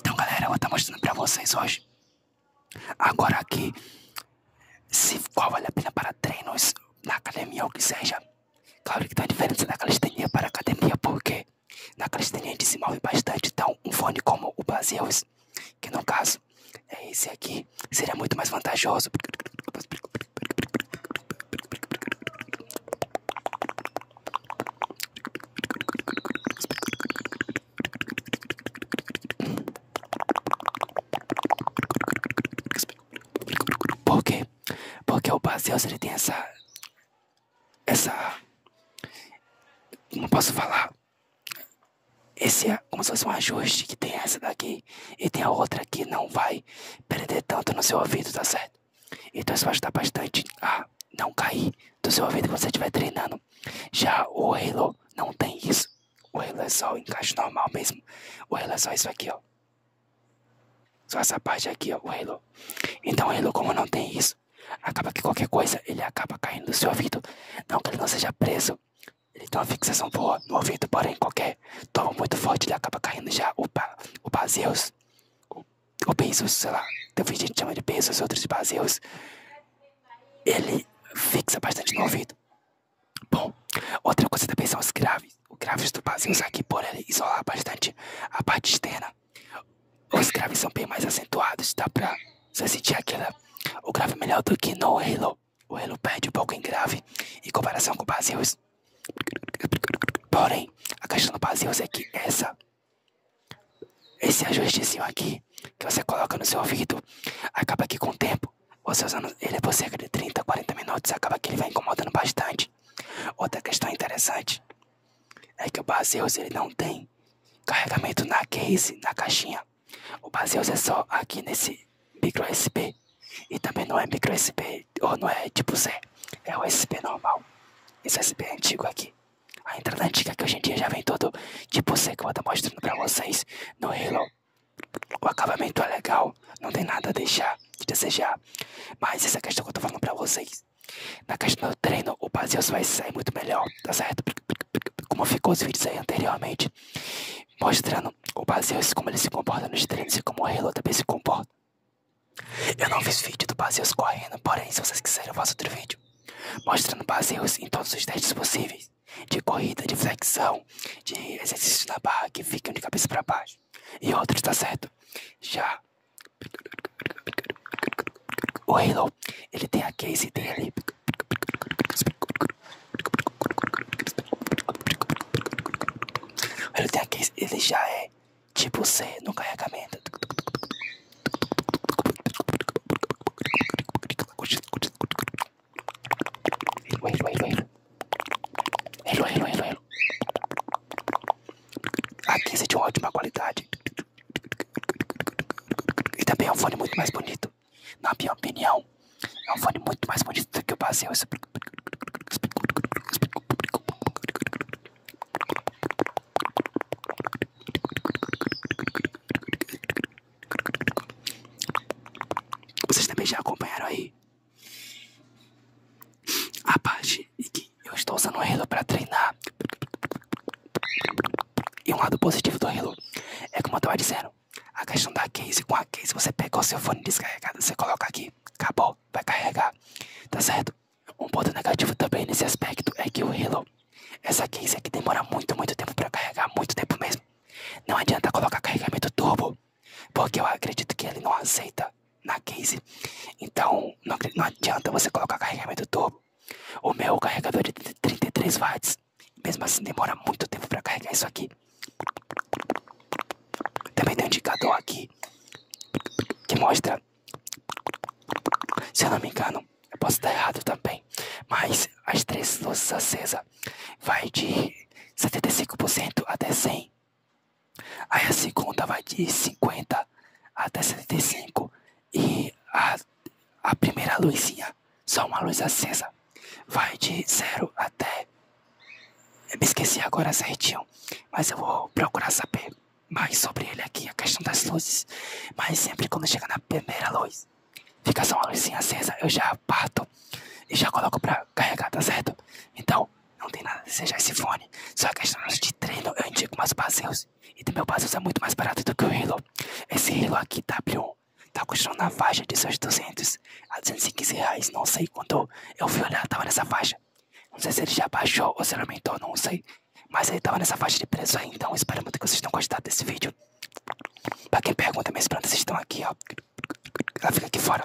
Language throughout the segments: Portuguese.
Então, galera, eu vou estar tá mostrando para vocês hoje. Agora aqui, se qual vale a pena para treinos na academia ou que seja, Claro que tem tá uma diferença da calistenia para academia, porque na calistenia a gente se move bastante, então um fone como o Baseus, que no caso é esse aqui, seria muito mais vantajoso. Porque porque o Baseus, ele tem essa... Essa... Não posso falar. Esse é como se fosse um ajuste que tem essa daqui e tem a outra que não vai perder tanto no seu ouvido, tá certo? Então isso vai ajudar bastante a não cair do seu ouvido quando você estiver treinando. Já o Halo não tem isso. O Halo é só o encaixe normal mesmo. O Halo é só isso aqui, ó. Só essa parte aqui, ó, o Halo. Então, o Halo, como não tem isso, acaba que qualquer coisa ele acaba caindo do seu ouvido. Não que ele não seja preso. Ele tem uma fixação boa no ouvido, porém qualquer toma muito forte ele acaba caindo já. O, ba, o Baseus, o, o sei lá. Tem então, gente que chama de Bezos, outros de Baseus. Ele fixa bastante no ouvido. Bom, outra coisa também são os graves. Os graves tubazinhos aqui, por ele isolar bastante a parte externa. Os graves são bem mais acentuados, dá pra você sentir aquela. O grave melhor do que no Halo. O Halo perde um pouco em grave em comparação com o Basileus. Porém, a questão do Basileus é que essa. Esse ajustezinho aqui que você coloca no seu ouvido acaba que com o tempo você usando ele, por cerca de 30, 40 minutos, acaba que ele vai incomodando bastante. Outra questão interessante é que o Baseus, ele não tem carregamento na case, na caixinha. O Baseus é só aqui nesse micro USB. E também não é micro USB, ou não é tipo C, é o USB normal. Esse USB é antigo aqui. A entrada é antiga que hoje em dia já vem todo tipo C que eu vou estar mostrando para vocês no Halo o acabamento é legal, não tem nada a deixar de desejar. Mas essa questão que eu tô falando pra vocês. Na questão do treino, o Baseus vai sair muito melhor, tá certo? Como ficou os vídeos aí anteriormente, mostrando o Baseus como ele se comporta nos treinos e como o Halo também se comporta. Eu não fiz vídeo do Baseus correndo, porém, se vocês quiserem, eu faço outro vídeo mostrando Baseus em todos os testes possíveis de corrida, de flexão, de exercício na barra que ficam de cabeça para baixo. E outros, tá certo? Já o Halo, ele tem a case dele. Ele tem a ele já é tipo C no carregamento. Wait, wait, wait. Hello, hello, hello, hello. Aqui esse de ótima qualidade. E também é um fone muito mais bonito. Na minha opinião, é um fone muito mais bonito do que o Basel. Vocês também já acompanharam aí a parte em que eu estou usando o Halo para treinar. E um lado positivo do Halo é como eu estava dizendo, a questão da case com a case, você pega o seu fone descarregado, você coloca aqui, acabou, vai carregar, tá certo? Um ponto negativo também nesse aspecto é que o Halo, essa case aqui demora muito, muito tempo para carregar, muito tempo mesmo. Não adianta colocar carregamento turbo, porque eu acredito que ele não aceita na case. Então, não, não adianta você colocar carregamento turbo. O meu carregador é de 33 watts, mesmo assim demora muito tempo para carregar isso aqui. Também tem um indicador aqui que mostra se eu não me engano, eu posso estar errado também. Mas as três luzes acesas vai de 75% até 100. Aí a segunda vai de 50 até 75. E a, a primeira luzinha, só uma luz acesa, vai de 0 até. Eu me esqueci agora certinho, mas eu vou procurar saber mais sobre ele aqui, a questão das luzes. Mas sempre quando chega na primeira luz, fica só uma luzinha acesa, eu já parto e já coloco pra carregar, tá certo? Então, não tem nada de seja esse fone. Só questão de treino, eu indico mais Baseus. E do meu Baseus é muito mais barato do que o Hilo. Esse Hilo aqui, w tá custando na faixa de seus 200 a 215 reais. Não sei quanto eu fui olhar, tava nessa faixa. Não sei se ele já baixou ou se ele aumentou, não sei. Mas ele tava nessa faixa de preço aí, então espero muito que vocês tenham gostado desse vídeo. Pra quem pergunta, minhas vocês estão aqui, ó. Ah, fica aqui fora.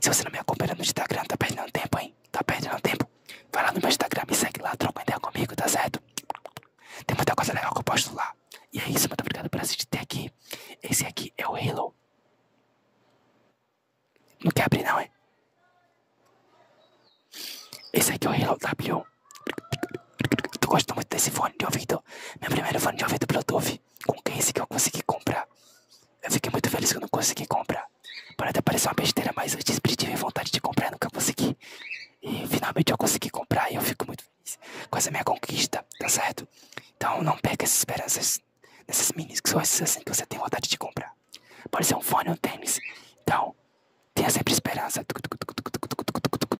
Se você não me acompanha no Instagram, tá perdendo tempo, hein? Tá perdendo tempo? Vai lá no meu Instagram, me segue lá, troca ideia comigo, tá certo? Tem muita coisa legal que eu posto lá. E é isso, muito obrigado por assistir até aqui. Esse aqui é o Halo. Não quer abrir, não, hein? Esse aqui é o Halo W. Eu gosto muito desse fone de ouvido. Meu primeiro fone de ouvido Bluetooth. Com quem esse que eu consegui comprar. Eu fiquei muito feliz que eu não consegui comprar. Pode até parecer uma besteira, mas eu sempre tive vontade de comprar, nunca consegui. E finalmente eu consegui comprar e eu fico muito feliz com essa minha conquista, tá certo? Então não pegue essas esperanças nessas minis que são esses assim que você tem vontade de comprar. Pode ser um fone ou um tênis. Então, tenha sempre esperança.